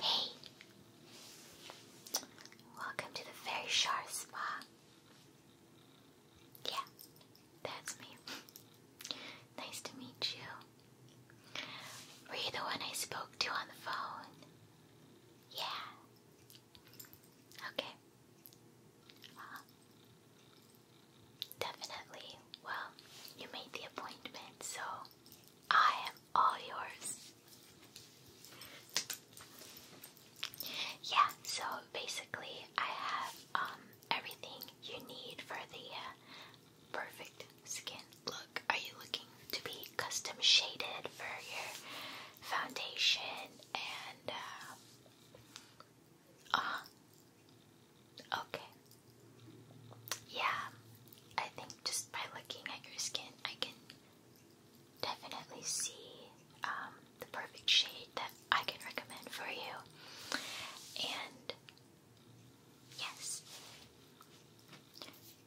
Hey! Welcome to the Very Spa. Yeah, that's me. nice to meet you. Were you the one I spoke to on the phone? Yeah. Okay. Uh-huh. definitely. Well, you made the appointment, so I am all yours. Yeah, so basically, I have um, everything you need for the uh, perfect skin look. Are you looking to be custom shaded for your foundation and uh, uh Okay. Yeah, I think just by looking at your skin, I can definitely see um, the perfect shade that I can recommend for you. And yes,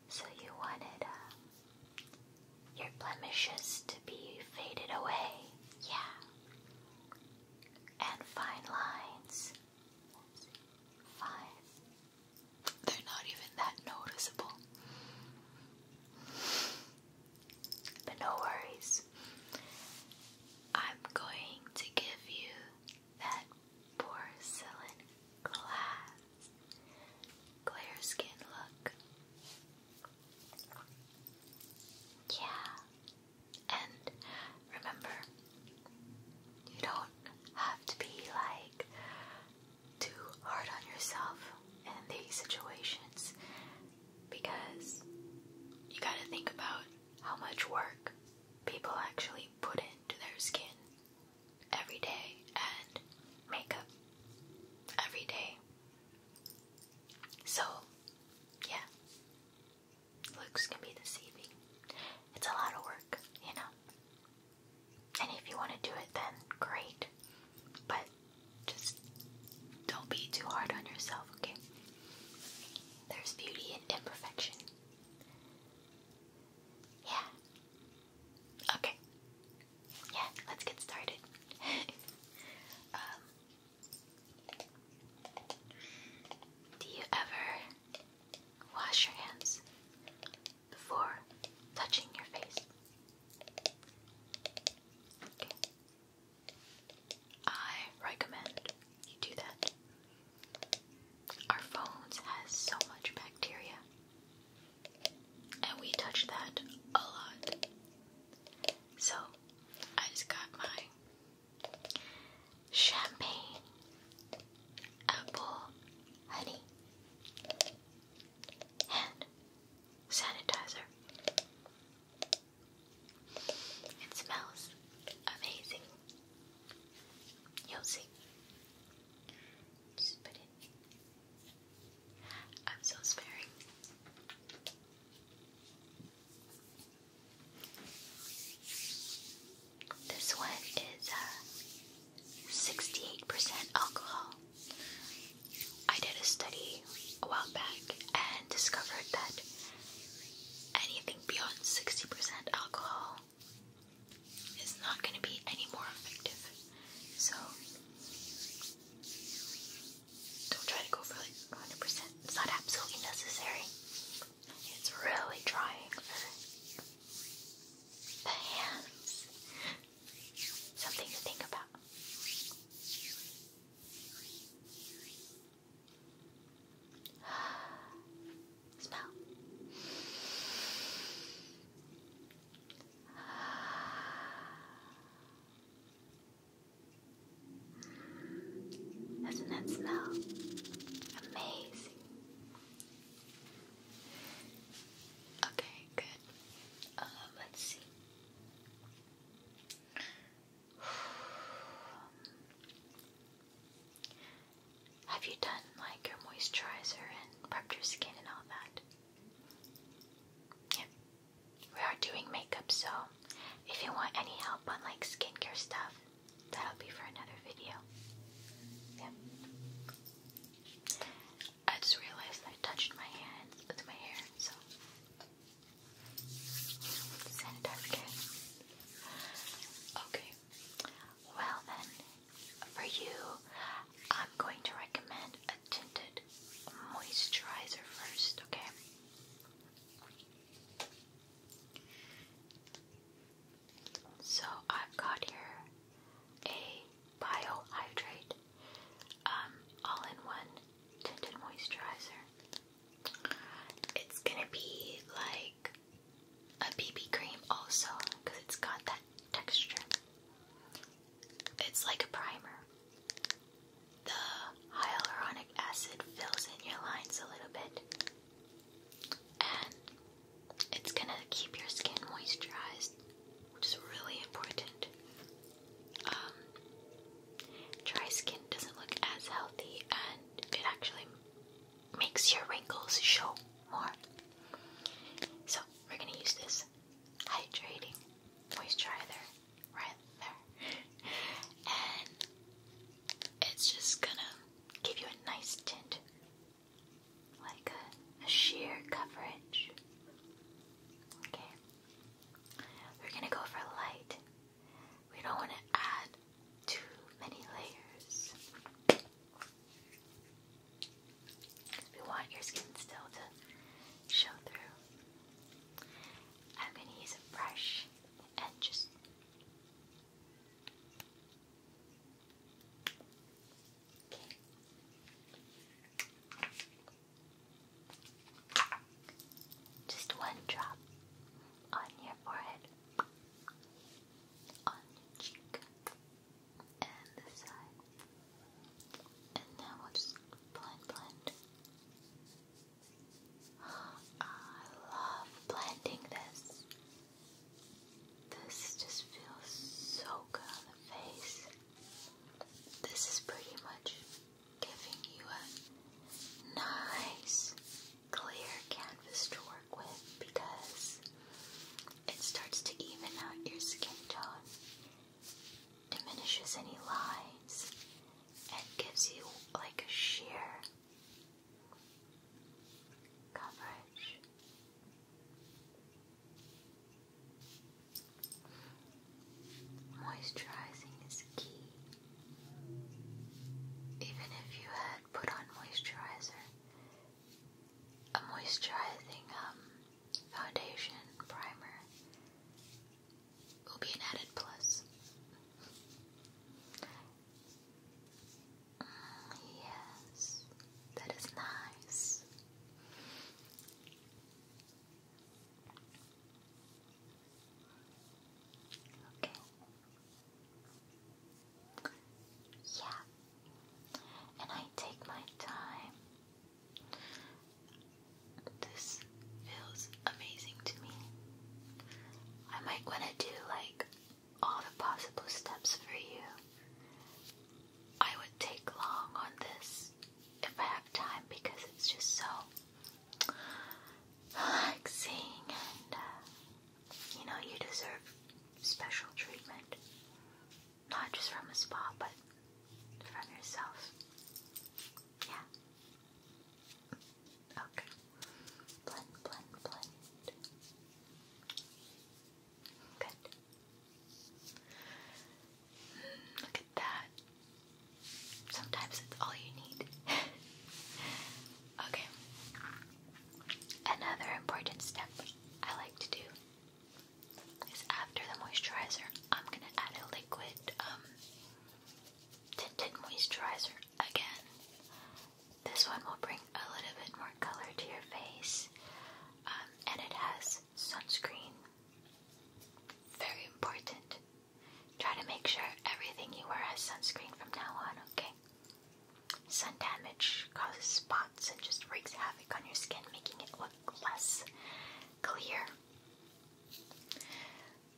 so you wanted uh, your blemishes to be faded away, yeah, and fine lines five. They're not even that noticeable. But no worries. I'm going to give you that porcelain glass clear skin look. Yeah. And remember, you don't have to be like too hard on yourself in these situations because you gotta think about how much work people actually put into their skin every day and makeup every day. So, yeah, looks can be deceiving. It's a lot of work, you know. And if you want to do it, then great. But just don't be too hard on yourself, okay? There's beauty in imperfection. Yeah. Okay. Yeah, let's get started. Um, do you ever Wash your hands before touching your face. I recommend you do that. Our phones has so much bacteria. And we touch that a lot. So I just got my champagne, apple, honey, and sanitizer. It smells amazing. You'll see. Just put it. I'm so sparing. This one is 68% uh, alcohol. I did a study a while back and discovered that anything beyond 60% alcohol is not going to be any more effective. So don't try to go for like 100%. It's not absolutely necessary. It's really trying for the hands. Something to think about. Smell. Doesn't that smell amazing? Okay, good. Um, let's see. Have you done like your moisturizer and prepped your skin and all that? Yep. We are doing makeup, so if you want any help on like skincare stuff, that'll be for another video. Yep. I just realized I touched my hands with my hair, so sanitize Okay. Well then, for you, I'm going to recommend a tinted moisturizer first, okay? So I've got here a Biohydrate um, all-in-one tinted moisturizer. It's gonna be like a BB cream also because it's got that texture. It's like a primer. The hyaluronic acid fills in your lines a little bit and it's gonna keep your skin moisturized, which is really important. Um, dry skin doesn't look as healthy, and it actually makes your wrinkles show more. So we're gonna use this hydrating moisturizer right there, and it's just gonna give you a nice tint like a, sheer coverage. Okay, we're gonna go for light. We don't want to add too many layers. We want your skin still to show through. I'm gonna use a brush and just just one drop on your forehead, on your cheek, and this side. And now we'll just blend, blend. I love blending this. This just feels so good on the face. This is pretty much giving you a nice clear canvas to work with because it starts to even out your skin tone, diminishes any lines, and gives you like a sheer coverage. Moisturizing is key. Even if you had put on moisturizer, a moisturizing um, foundation primer will be an added plus yes, that is nice. Okay. Yeah. And I take my time. This feels amazing to me. I might want to do like all the possible steps for you. I would take long on this if I have time because it's just so relaxing and uh, you know, you deserve special treatment. Not just from a spa, but from yourself. Yeah. Okay. Blend, blend, blend. Good. look at that. Sometimes it's all you need. okay. Another important step I like to do is after the moisturizer, I'm gonna add a liquid um tinted moisturizer again. This one will bring a little bit more color to your face, um, and it has sunscreen. Very important. Try to make sure everything you wear has sunscreen from now on, okay? Sun damage causes spots and just wreaks havoc on your skin, making it look less clear.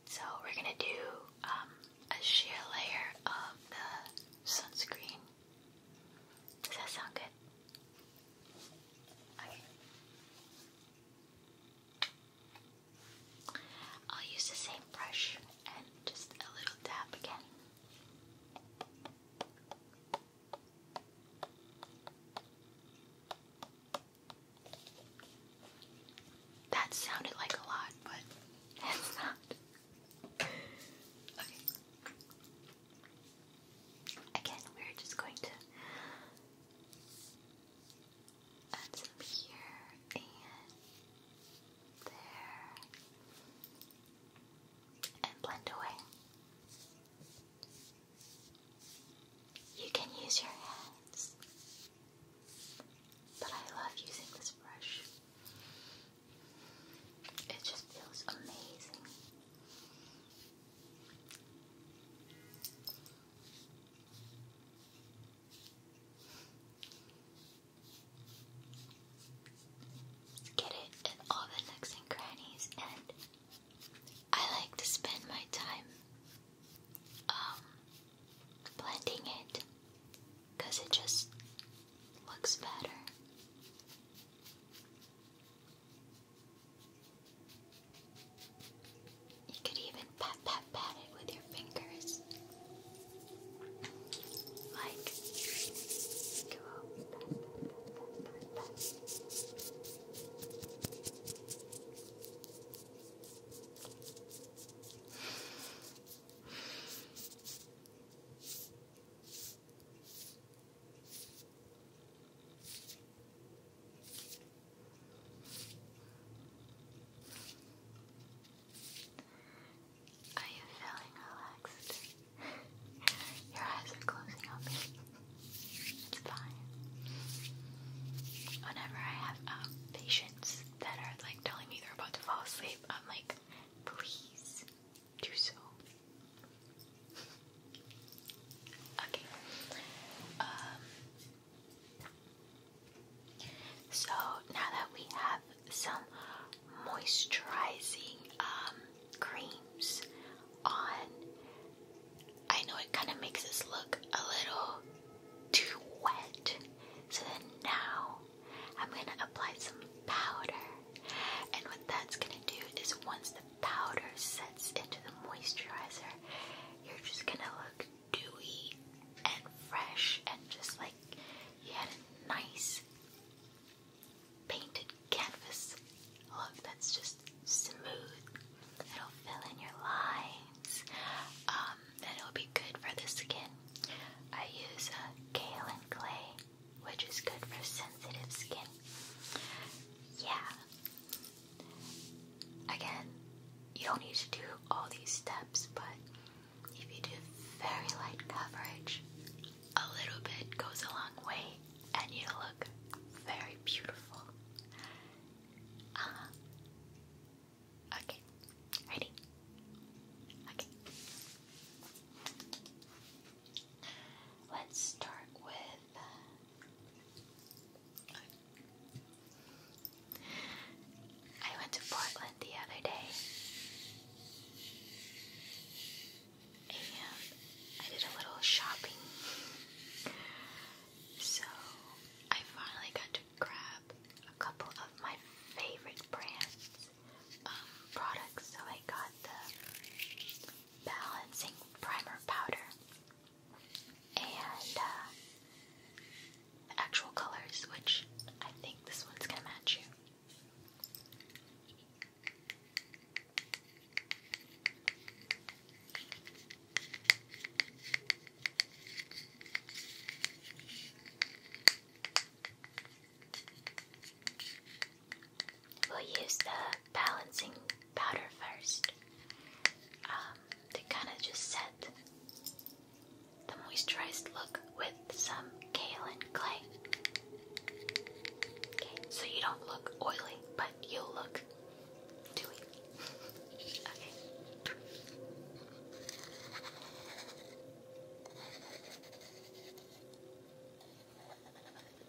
So, we're gonna do um, a sheer layer of the sunscreen does that sound good? Okay. I'll use the same brush and just a little dab again. That sounded like a lot, but it's not. Again, we're just going to add some here and there and blend away. You can use your hands, but I love using this brush. It just feels amazing. Get it in all the nooks and crannies, and I like to spend my time um, blending it because it just Looks better. You could even pat pat pat it with your fingers. Like go are you feeling relaxed? Your eyes are closing on me. It's fine. Whenever I have um, patients that are like telling me they're about to fall asleep, I'm like, please do so. Okay. Um, so now that we have some moisturizing um, creams on, I know it kind of makes us look a little too wet. So now I'm gonna apply some powder. And what that's gonna do is once the powder sets into the moisturizer, you're just gonna look dewy and fresh and just like you had a nice painted canvas look that's just smooth. It'll fill in your lines. Um, and it'll be good for the skin. I use a Kale and Clay which is good for sensitive skin. Yeah. Again, you don't need to do all these steps, but if you do very light coverage, a little bit goes a long way and you look very beautiful. Uh Okay, ready? Okay. Let's start with. I went to Portland the other day. And I did a little shopping. So I finally got to grab a couple of my favorite brands. Um, products. So I got the balancing primer powder and uh, actual colors, which I think this one's gonna match you. We'll use the balancing powder first um, to kind of just set the moisturized look with some kaolin clay. so you don't look oily, but you look dewy. okay.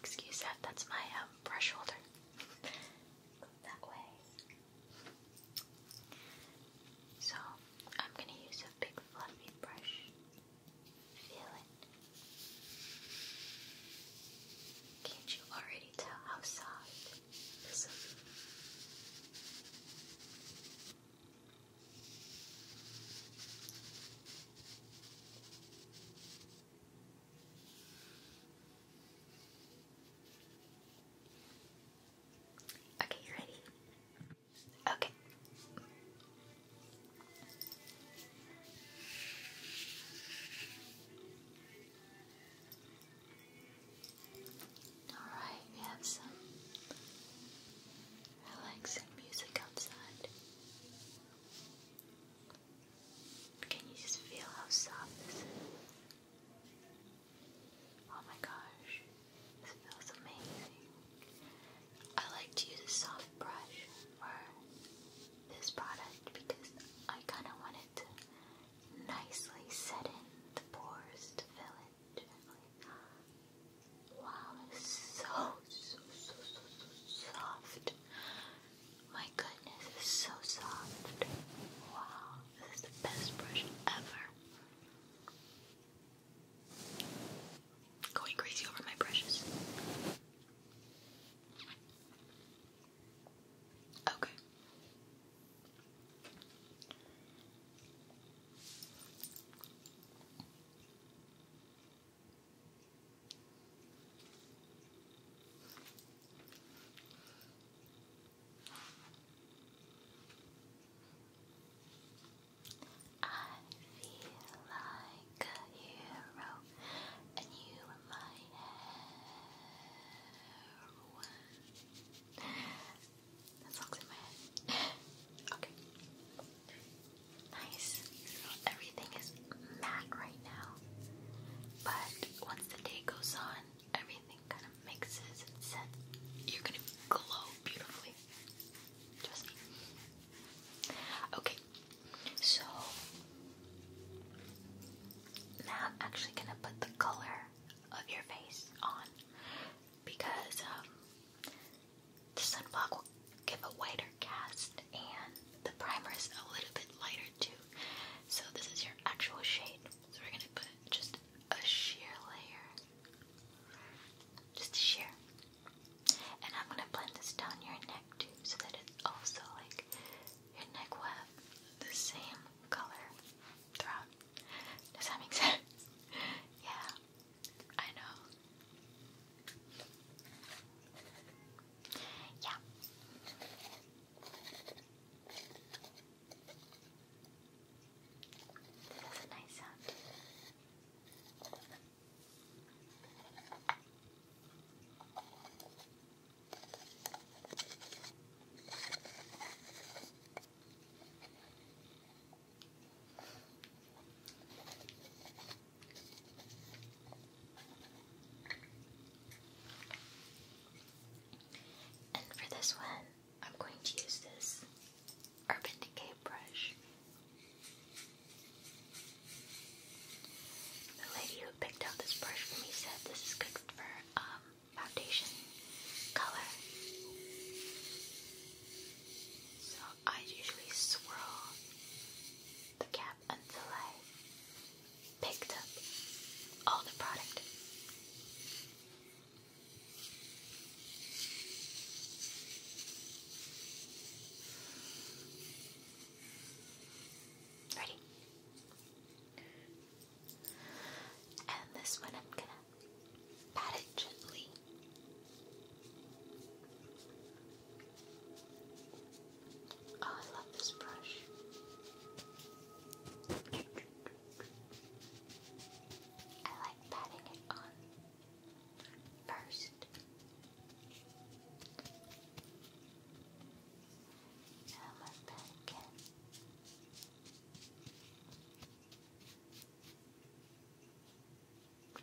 Excuse that, that's my um, brush holder. that way. So, I'm going to use a big fluffy brush. Feel it. Can't you already tell how soft this is? Okay, you ready? Okay. Alright, we have some relaxing music outside. Can you just feel how soft this is? Oh my gosh, this feels amazing. I like to use a soft brush for this product because I kind of want it to nicely set in the pores to fill Wow, it's so, so, so, so, so soft. My goodness, it's so soft. Wow, this is the best brush ever. Going crazy over my brushes. Okay. I feel like a hero, and you are my heroine. That's all in my head. okay. Nice. everything is matte right now. But once the day goes on, everything kind of mixes and sets. You're gonna glow beautifully. Trust Okay. So now I'm actually gonna put the color of your face on because um, the sunblock will give a whiter cast and the primer is a little bit lighter too. So this is your actual shade. So we're gonna put just a sheer layer. Just a sheer. And I'm gonna blend this down your neck too so that it's also like your neck will have the same color throughout. Does that make sense? yeah. I know. Yeah. That's a nice sound. And for this one, I'm going to use this Urban Decay brush. The lady who picked out this brush for me said this is good for um, foundation color. So I usually swirl the cap until I picked up all the product. Ready? And this one I'm gonna Pat it gently. Oh, I love this brush. I like patting it on first. Now I'm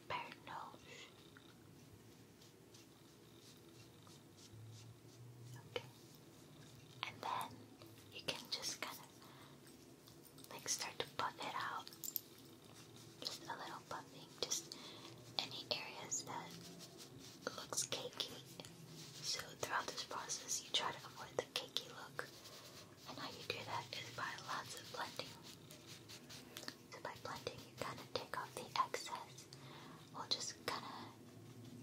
Bird nose. Okay. And then you can just kind of like start to puff it out. Just a little puffing. Just any areas that looks cakey. So throughout this process you try to avoid the cakey look. And how you do that is by lots of blending. So by blending, you kind of take off the excess while just kind of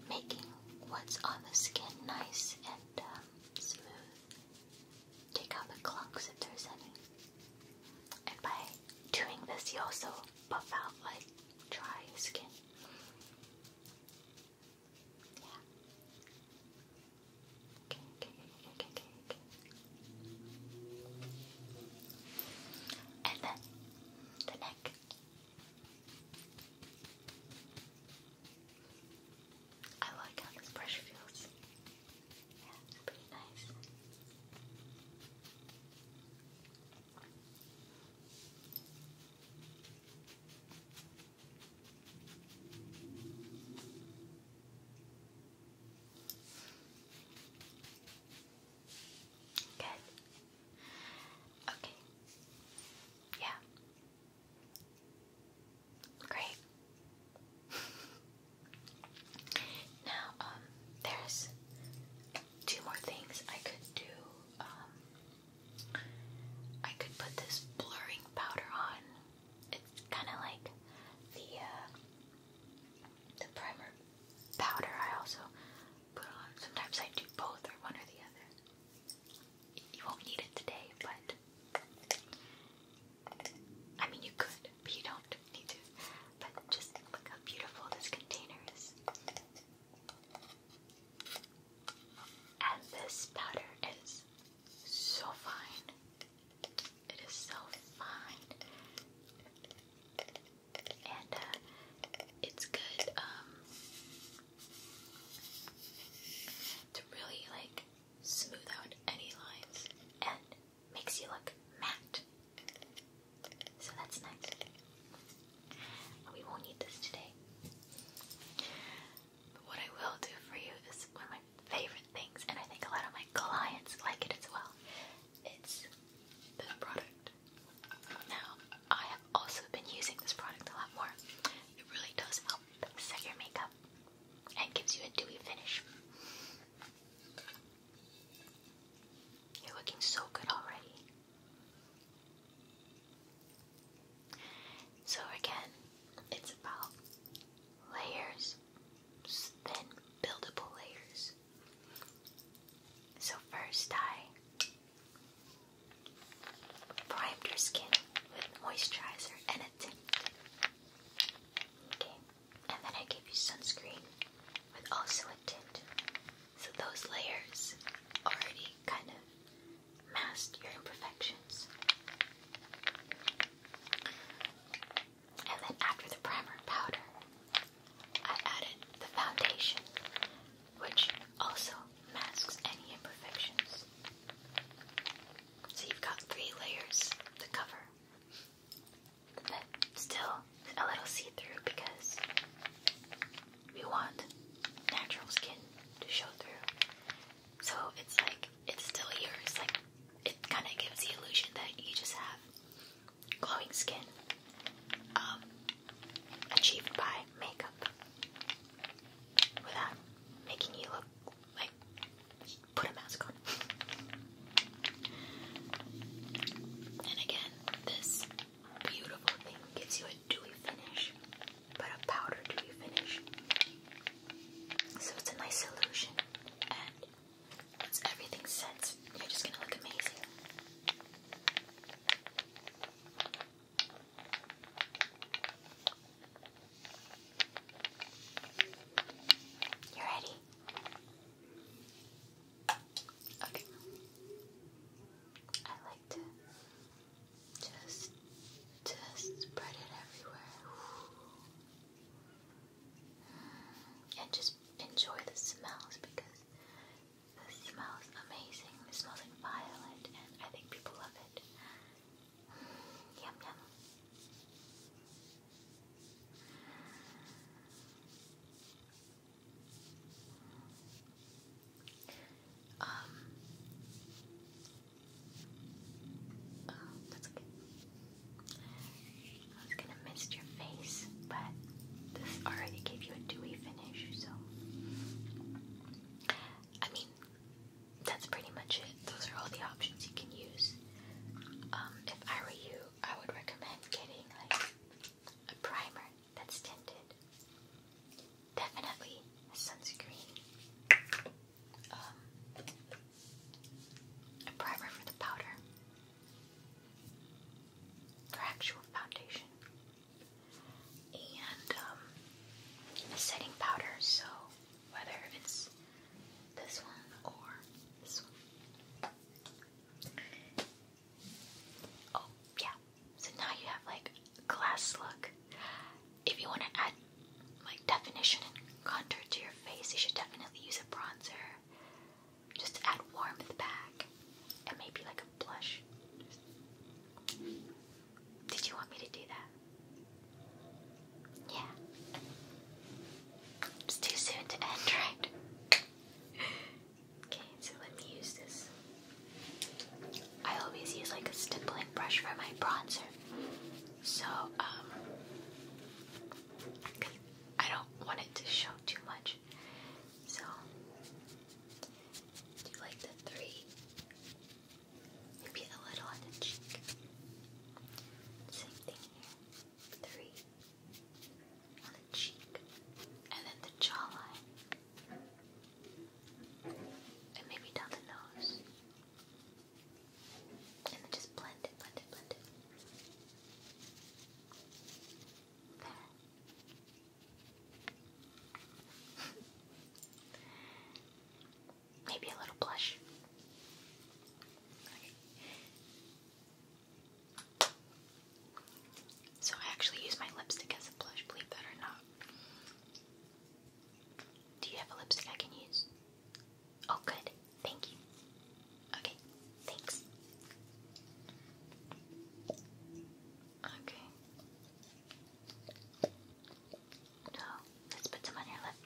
making what's on the skin nice and um, smooth. Take out the clunks if there's any. And by doing this, you also buff out like dry skin. Yeah. Okay, okay, And then the neck. I like how this brush feels. Yeah, pretty nice. Good. Okay. Yeah. Great. now, um, there's two more things I could do. Um, I could put this blurring powder on it's kind of like the uh, the primer powder I also put on. Sometimes I do both or one or the other. You won't need it today, but I mean you could, but you don't need to. But just look how beautiful this container is. And this powder is so fine. It is so fine. And uh, it's good, um, to really like smooth out any lines and makes you look matte. So that's nice. We won't need this today what I will do for you is one of my favorite things, and I think a lot of my clients like it as well. It's this product. Now, I have also been using this product a lot more. It really does help set your makeup and gives you a dewy finish. You're looking so good already. So again, it's about layers, thin, buildable layers. So first I primed your skin with moisturizer and a tint. Okay, and then I gave you sunscreen with also a tint. So those layers already kind of masked your imperfections. And then after the primer powder, I added the foundation, which also masks any imperfections. So you've got three layers to cover, but still a little see through because we want natural skin to show through. So it's like, it's still yours, like it kind of gives the illusion that you just have glowing skin um, achieved by makeup without making you look like put a mask on. and again, this beautiful thing gives you a dewy finish, but a powder dewy finish. So it's a nice solution, and once everything sets, you're just gonna look amazing. You ready? Okay. I like to just, just spread it everywhere and just enjoy the smells because the smells amazing. It smells like violet, and I think people love it. Yum yum. Um, Oh, that's okay. I was gonna mist your face, but this already gave you a dewy finish, so. I mean, that's pretty much it. Those are all the options you can use. Um, if I were you, I would recommend getting like a primer that's tinted. Definitely a sunscreen. Um, a primer for the powder, for actual foundation, and um, a setting powder. So whether it's this one or this one. Oh yeah. So now you have like glass look. If you want to add like definition and contour to your face, you should definitely use a bronzer just to add warmth back and maybe like a blush. Did you want me to do that? Yeah. It's too soon to end, right? okay, so let me use this. I always use like a stippling brush for my bronzer. So, um, I don't want it to show too much. So, do like the three, maybe a little on the cheek. Same thing here. Three on the cheek, and then the jawline, and maybe down the nose. And then just blend it, blend it, blend it. There. Maybe a little blush. So I actually use my lipstick as a blush, believe that or not. Do you have a lipstick I can use? Oh, good. Thank you. Okay, thanks. Okay. No, let's put some on your lip.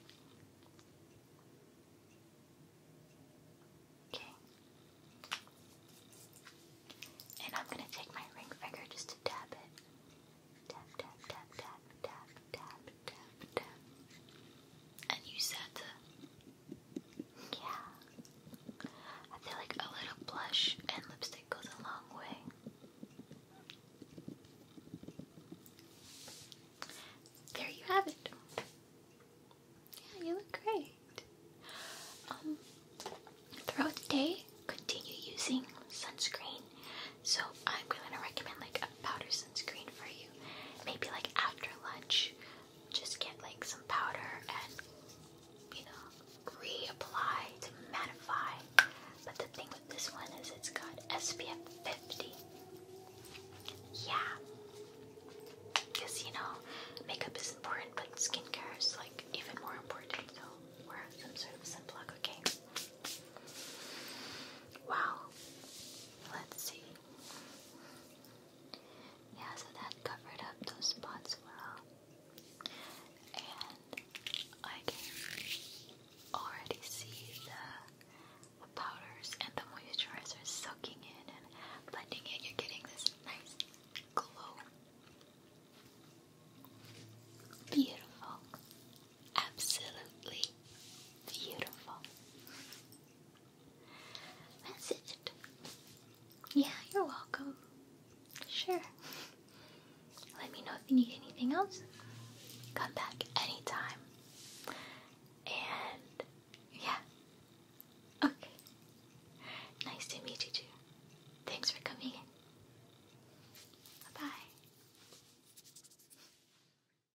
Okay. And I'm gonna take my ring finger just to tap it. Tap, tap, tap, tap, tap, tap, and you said, yeah. I feel like a little blush and lipstick goes a long way. There you have it. Yeah, you look great. Um, throughout the day, continue using sunscreen. So I'm going to recommend like powder sunscreen for you. Maybe like after lunch, just get like some powder and you know reapply to mattify. But the thing with this one is it's got SPF 50. Yeah, because you know makeup is important, but skincare is like even more important. So wear some sort of sunblock, okay? Wow. Let's see. Yeah, so that covered up those spots well. And I can already see the, the powders and the moisturizers soaking in and blending in. You're getting this nice glow. Beautiful. Absolutely beautiful message. Yeah, you're welcome. Sure. Let me know if you need anything else. Come back anytime. And yeah. Okay. Nice to meet you too. Thanks for coming bye.